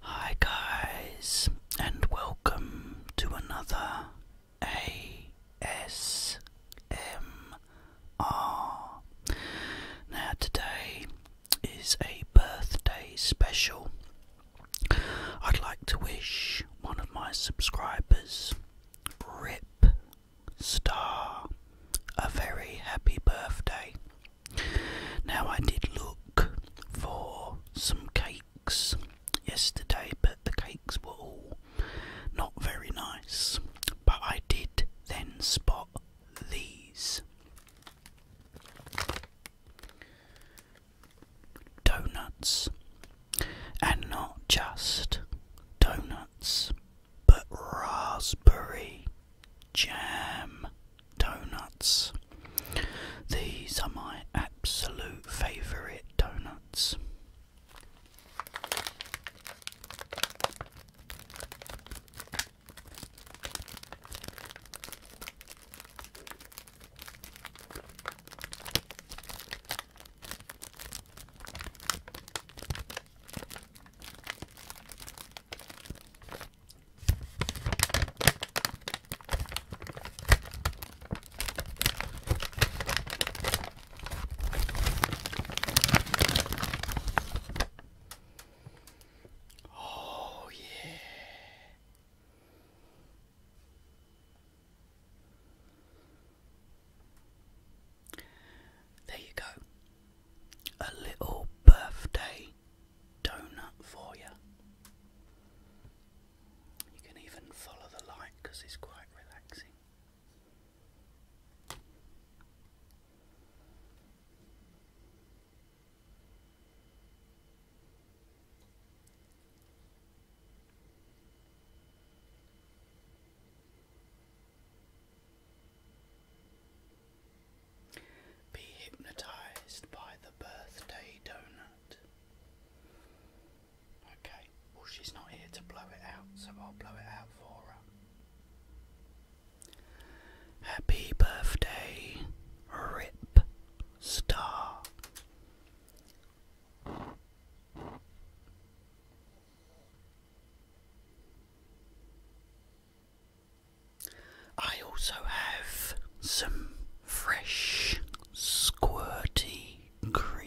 Hi guys and welcome to another ASMR. Now today is a birthday special. I'd like to wish one of my subscribers, Rip Star, a very happy birthday. Now, I did look for some cakes yesterday, but the cakes were all not very nice. But I did then spot these donuts, and not just donuts, but raspberry jam donuts. These are my absolute favourite donuts. Oh, yeah. There you go a little birthday donut for you. You can even follow the light because it's quite relaxing. Be hypnotized by the birthday donut. Okay, well, she's not here to blow it out, so I'll blow it out for her. Happy birthday, Rip Star. I also have some fresh squirty cream.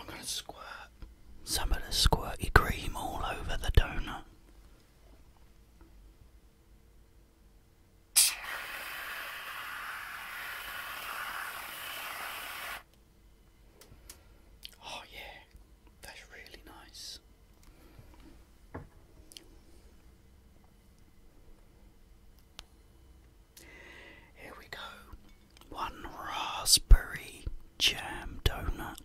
I'm going to squirt some of the squirty cream all over the donut. Oh, yeah, that's really nice. Here we go. One raspberry jam donut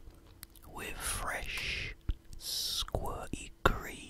with fresh squirty cream.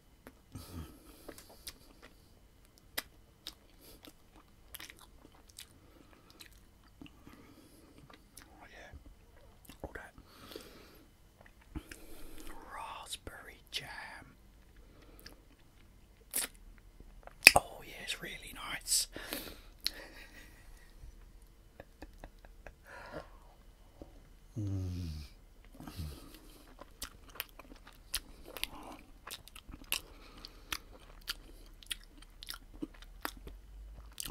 Oh yeah, all that raspberry jam. Oh yeah, it's really nice. Mm.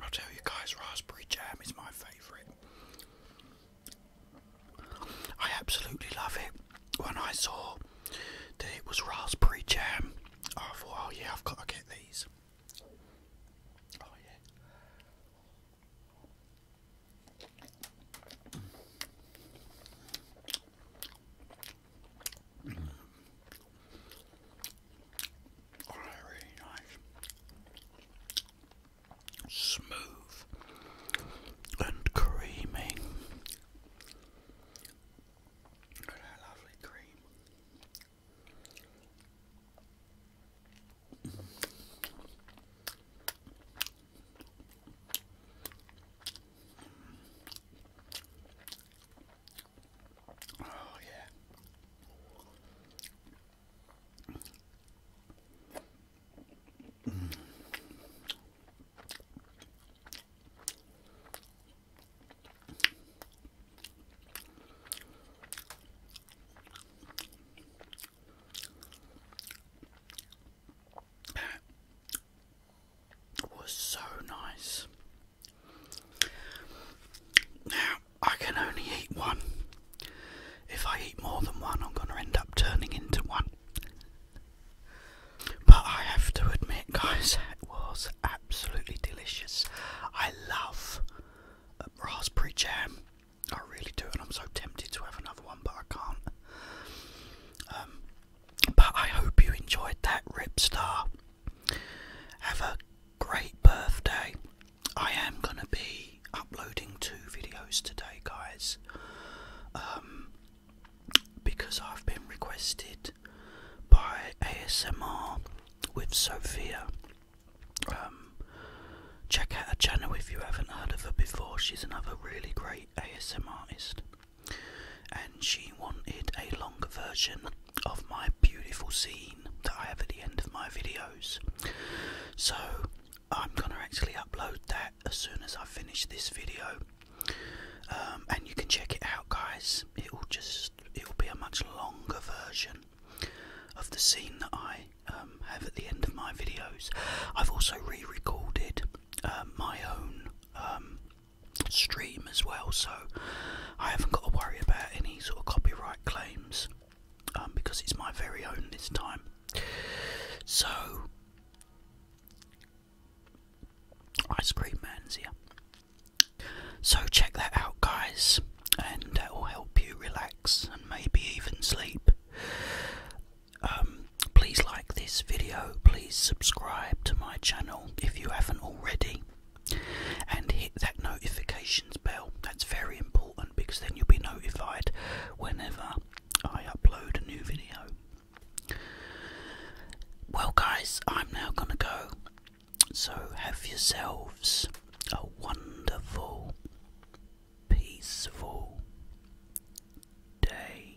I'll tell you guys, raspberry jam is my favourite. I absolutely love it. When I saw that it was raspberry jam, I thought, oh yeah, I've got to get these. Oh really nice, smooth and creamy. Look at lovely cream. Oh, yeah. Mm. It was so nice. Now, I can only eat one. If I eat more than one, I'm going to end up turning into one. But I have to admit, guys, it was absolutely delicious. I love uh, raspberry jam. I really do, and I'm so tempted to have another one, but I can't. Um, but I hope you enjoyed that, Ripstar. Have a great birthday. I am going to be uploading two videos today, guys, um, because I've been requested by ASMR with Sophia. Um, check out her channel if you haven't heard of her before. She's another really great ASM artist, and she wanted a longer version of my beautiful scene that I have at the end of my videos. So I'm gonna actually upload that as soon as I finish this video, um, and you can check it out, guys. It will just it will be a much longer version of the scene that I um, have at the end of my videos. I've also re-recorded um, my own um, stream as well, so I haven't got to worry about any sort of copyright claims um, because it's my very own this time. So, Ice Cream Man's here. So, check that out, guys, and that will help you relax and maybe even sleep. Um, please like this video, please subscribe to my channel if you haven't already, and hit that notifications bell. That's very important because then you'll be notified whenever I upload a new video. Well, guys, I'm now gonna go. So, have yourselves a wonderful peaceful day.